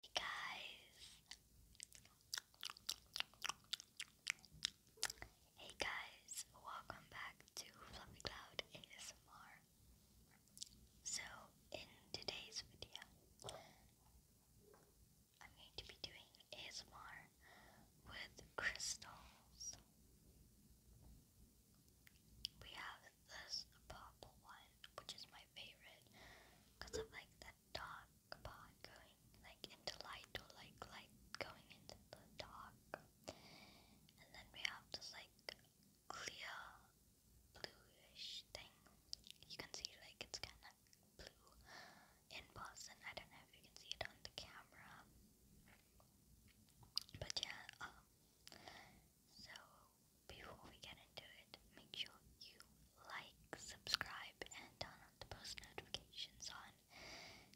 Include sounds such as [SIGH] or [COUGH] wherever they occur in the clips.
Hey guys. Hey guys, welcome back to Fluffy Cloud ASMR. So, in today's video, I'm going to be doing ASMR with crystals. We have this purple one which is my favorite because of like that dark part like into light or like light going into the dark. And then we have this like clear bluish thing. You can see like it's kind of blue in person. I don't know if you can see it on the camera. But yeah, um, so before we get into it, make sure you like, subscribe, and turn on the post notifications on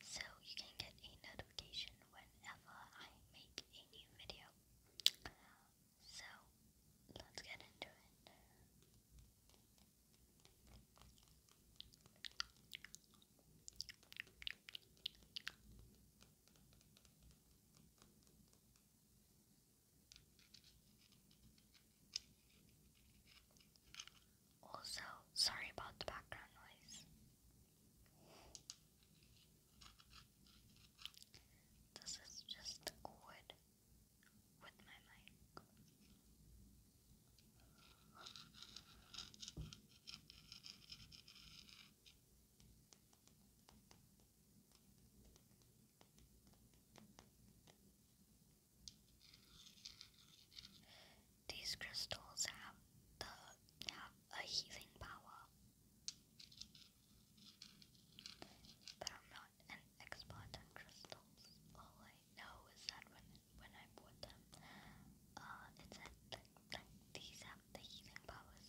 so you can get a notification whenever I make a new video. So, let's get into it. Also, sorry about the background noise. This is just wood with my mic. These crystals have the have a healing power, but I'm not an expert on crystals. All I know is that when when I bought them, uh, it said that, that these have the healing powers.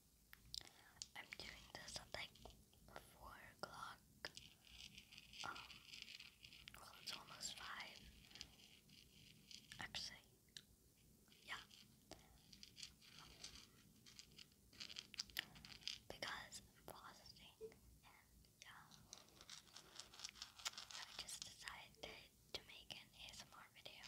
I'm doing this at like 4 o'clock. Um, well, it's almost 5. Actually, yeah. Because I'm fasting, and yeah. I just decided to make an ASMR video.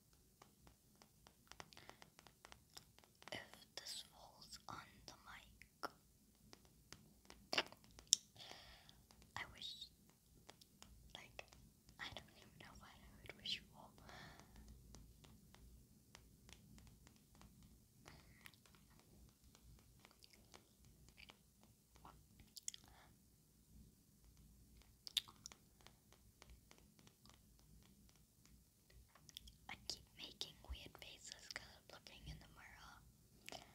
if this falls on the mic. I wish, like, I don't even know what I would wish for. I keep making weird faces I'm looking in the mirror.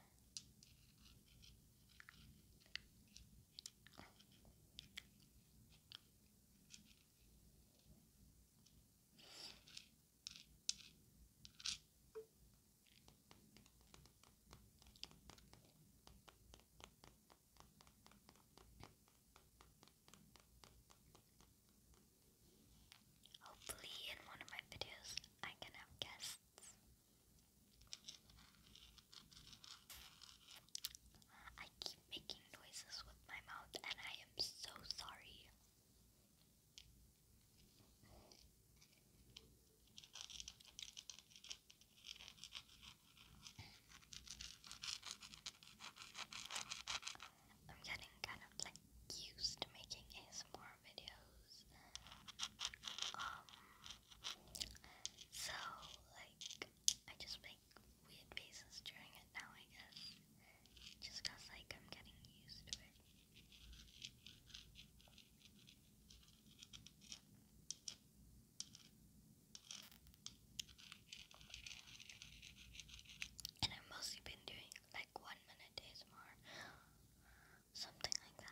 Hopefully, in one of my videos, I can have guests. I keep making noises with my mouth, and I am so sorry. I'm getting kind of like used to making ASMR videos. Um, so like I just make weird faces during it now, I guess. Just like I'm getting used to it. And I've mostly been doing like one minute days more, something like that.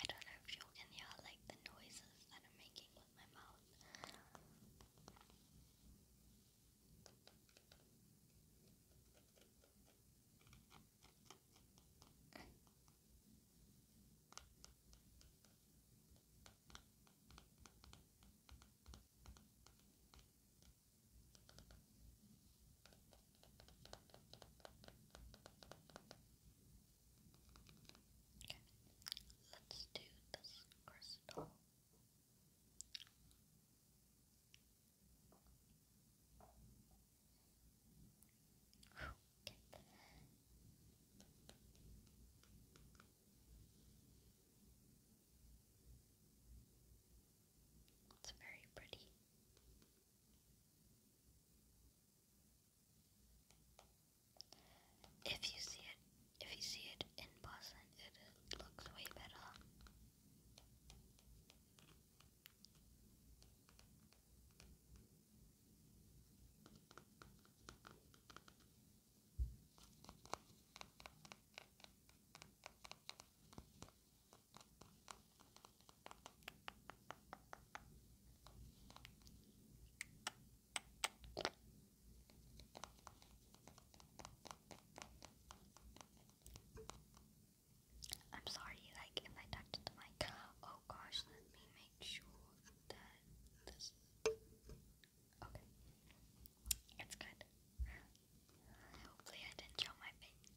I don't know if you can hear like the noises that I'm making with my mouth. Okay, let's do this crystal. It's very pretty. If you see it, if you see it in person, it looks way better. I'm sorry, like if I touch the mic. Oh gosh, let me make sure that this. Okay, it's good. Hopefully, I didn't show my face.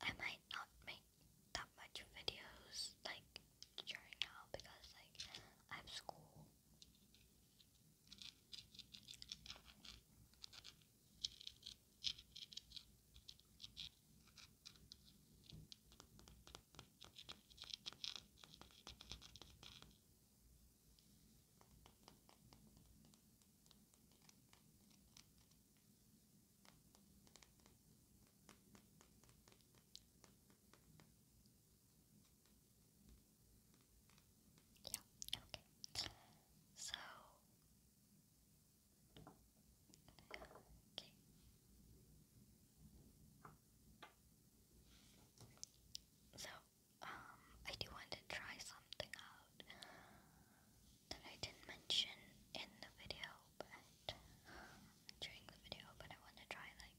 I might not make that much videos like during now because like I have school. Yeah, okay. So okay. So, um, I do want to try something out that I didn't mention in the video, but um, during the video, but I want to try like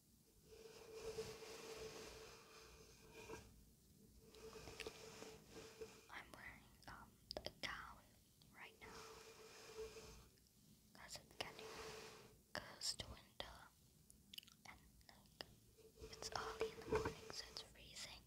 I'm wearing um a right now because it's getting close to winter and it's early in the morning so it's freezing.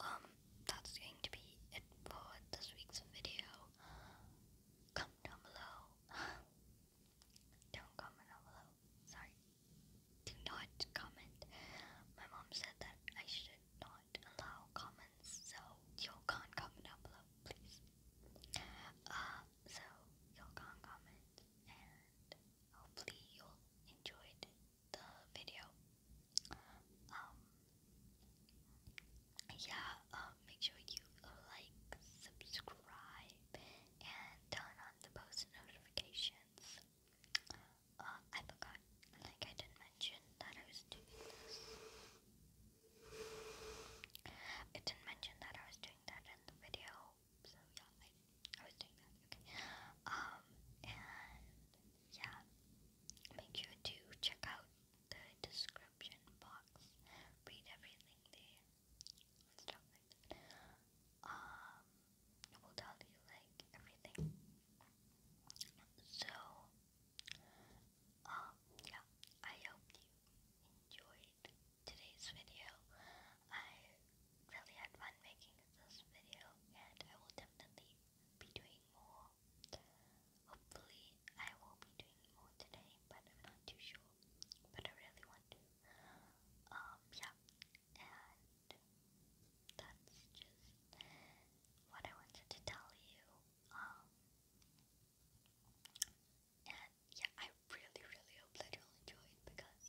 um, that's going to be it for this week's video. Comment down below. [LAUGHS] Don't comment down below. Sorry. Do not comment. My mom said that I should not allow comments, so you can't comment down below, please. Uh, so you can't comment, and hopefully you'll enjoyed the video. Um, yeah, um, make sure you like, subscribe, and turn on the post notifications. Uh, I forgot, like I didn't mention that I was doing this. I didn't mention that I was doing that in the video, so yeah, I, I was doing that, okay. Um, and yeah, Make sure to check out the description box. Read everything there. Stuff like that. Um, it will tell you like everything. So, um, yeah, I hope you enjoyed today's video. I really had fun making this video, and I will definitely be doing more Hopefully, I will be doing more today, but I'm not too sure. But I really want to. Um, yeah. And that's just what I wanted to tell you. Um, and yeah, I really, really hope that you'll enjoy it because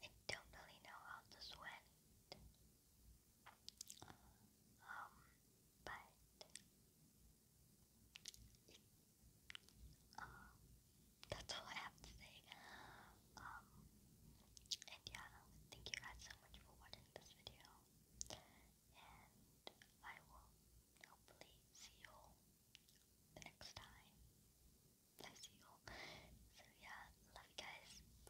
I don't really know how this went. Um, but um, that's all I have to say. Um, and yeah, thank you guys so much for watching this video. And I will hopefully see you the next time. I see you So yeah, love you guys. Bye.